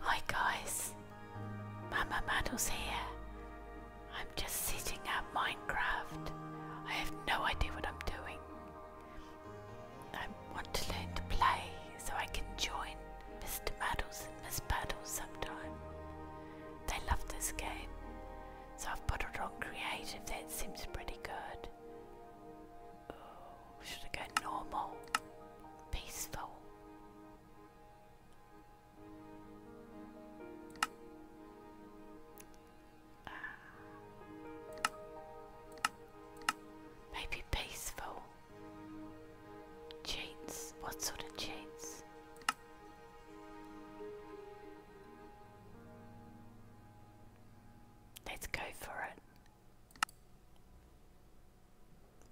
Hi guys, Mama Maddles here. I'm just sitting at Minecraft. I have no idea what I'm doing. I want to learn to play so I can join Mr. Maddles and Miss Maddles sometime. They love this game, so I've put it on creative. That seems pretty good. Ooh, should I go normal? Peaceful? Ah. maybe peaceful? Cheats? What sort of cheats? Let's go for it.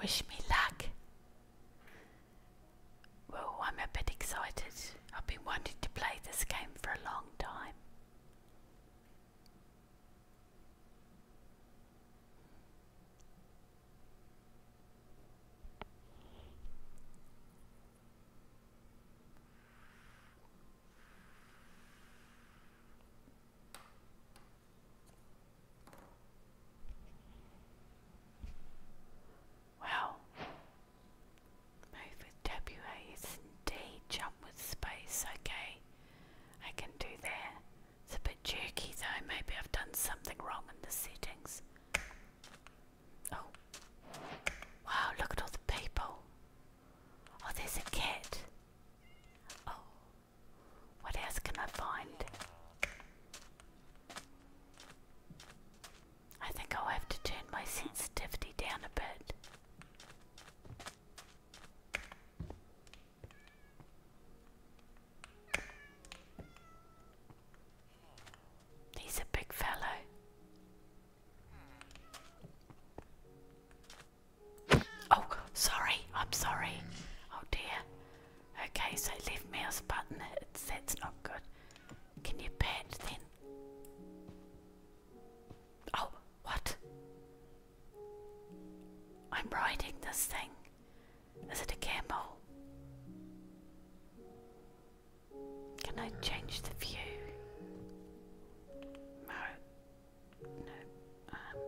Wish me luck. Well, I'm a bit excited. I've been wanting to play this game for a long time. Well, move with W A S jump with space, okay. I can do that. It's a bit jerky though, maybe I've done something wrong in the settings. Oh, wow, look at all the people. Oh, there's a cat. Oh, what else can I find? I think I'll have to turn my sensitivity down a bit. He's a big fellow. Oh, sorry. I'm sorry. Oh dear. Okay, so left mouse button. It's, not good. Can you pet then? Oh, what? I'm riding this thing. Is it a camel? Can I change the view? No. No. Um,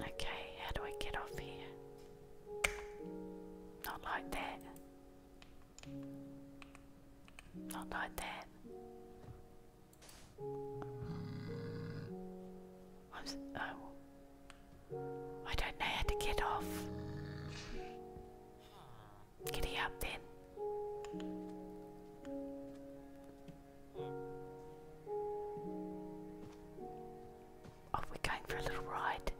okay, how do I get off here? Not like that. Not like that. Mm. oh. I don't know how to get off. Giddy up then. Oh, we going for a little ride.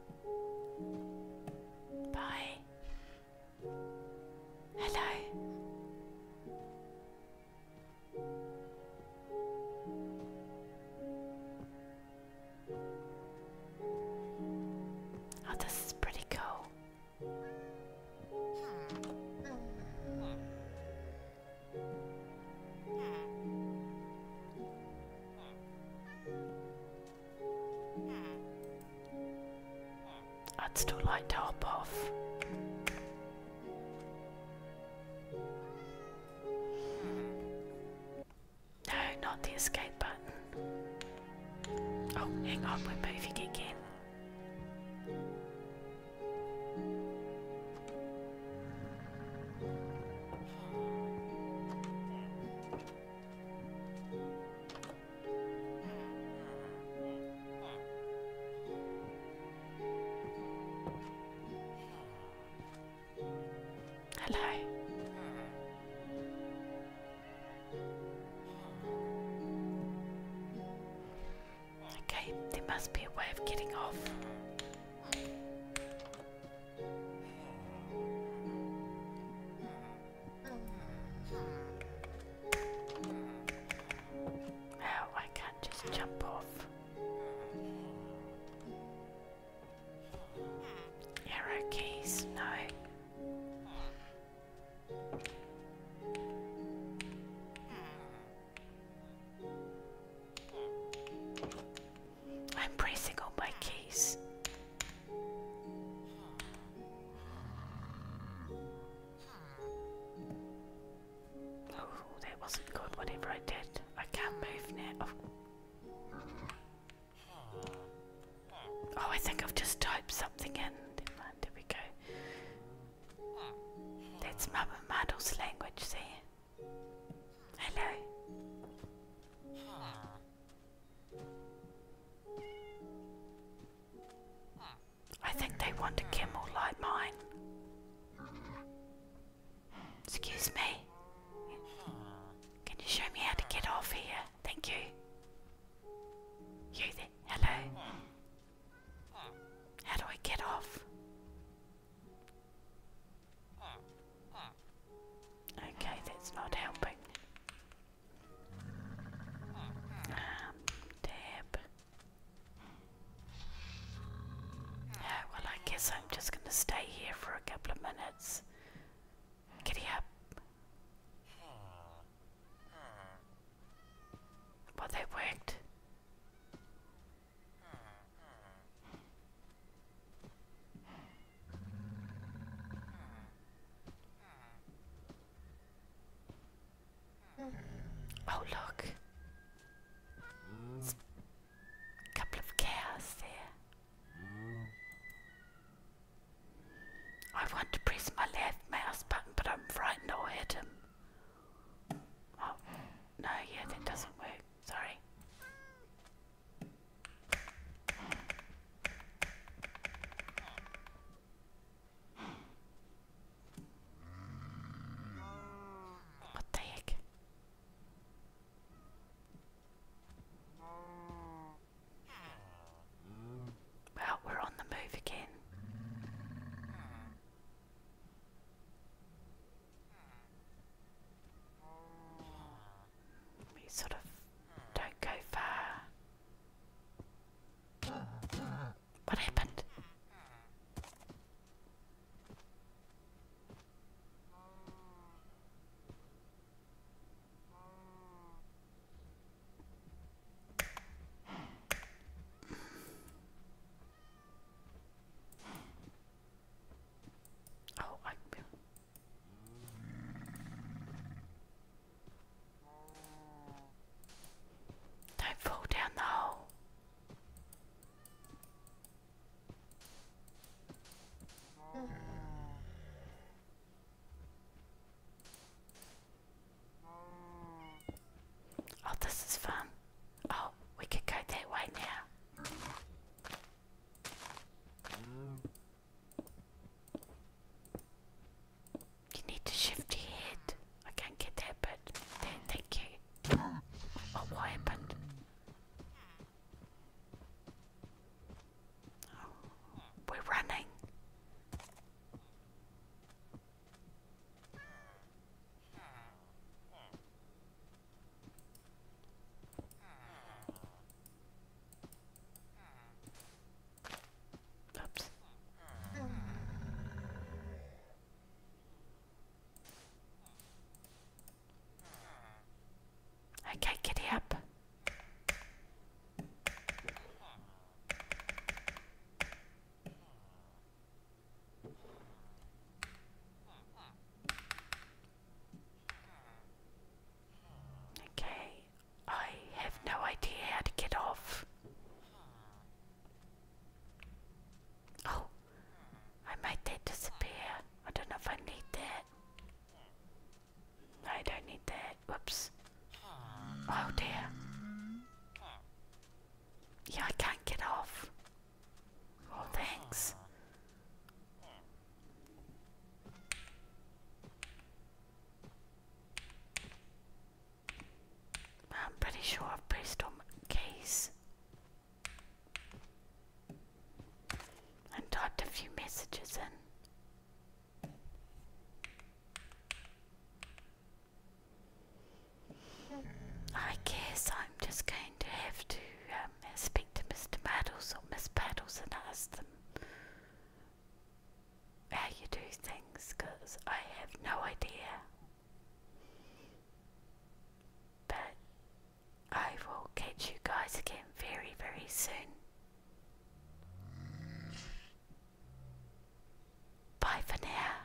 Bye. Hello. Oh, this is pretty cool. I'd still like to hop off. No, not the escape button. Oh, hang on, we're moving again. Hello. Okay, there must be a way of getting off. Oh, I can just jump off. Arrow keys, no. I'm pressing on my keys. Oh, that wasn't good, whatever I did. I can't move now. Oh. oh I think I've just typed something in. Never we go. That's Mabel Muddle's language, see? Hello. I think they want a camel like mine. Excuse me. Can you show me how to get off here? Thank you. You Hello? How do I get off? Okay, that's not helping. Um, tab. Yeah, well, I guess I'm just gonna stay here for a couple of minutes. Giddy up. Well, that worked. Oh, look. a couple of cows there. I want to press my left mouse button, but I'm frightened I'll hit him. Oh, no, yeah, that doesn't work. Sorry. What the heck? Well, we're on the move again. We sort of don't go far. What happened? Oh, I. Don't fall down the hole. Oh, this is fun. Oh, we could go that way now. You need to shift your head. I can't get that, but thank you. Oh, what happened? Oh, we're running. Oops. Okay, giddy up. Okay, I have no idea how to get off. Oh, I made that disappear. I don't know if I need that. I don't need that. Whoops. Oh dear. Yeah, I can't get off. Oh, thanks. I'm pretty sure I've placed on case and typed a few messages in. I guess I'm just going to have to um, speak to Mr. Battles or Miss Battles and ask them how you do things because I have no idea. But I will catch you guys again very, very soon. Bye for now.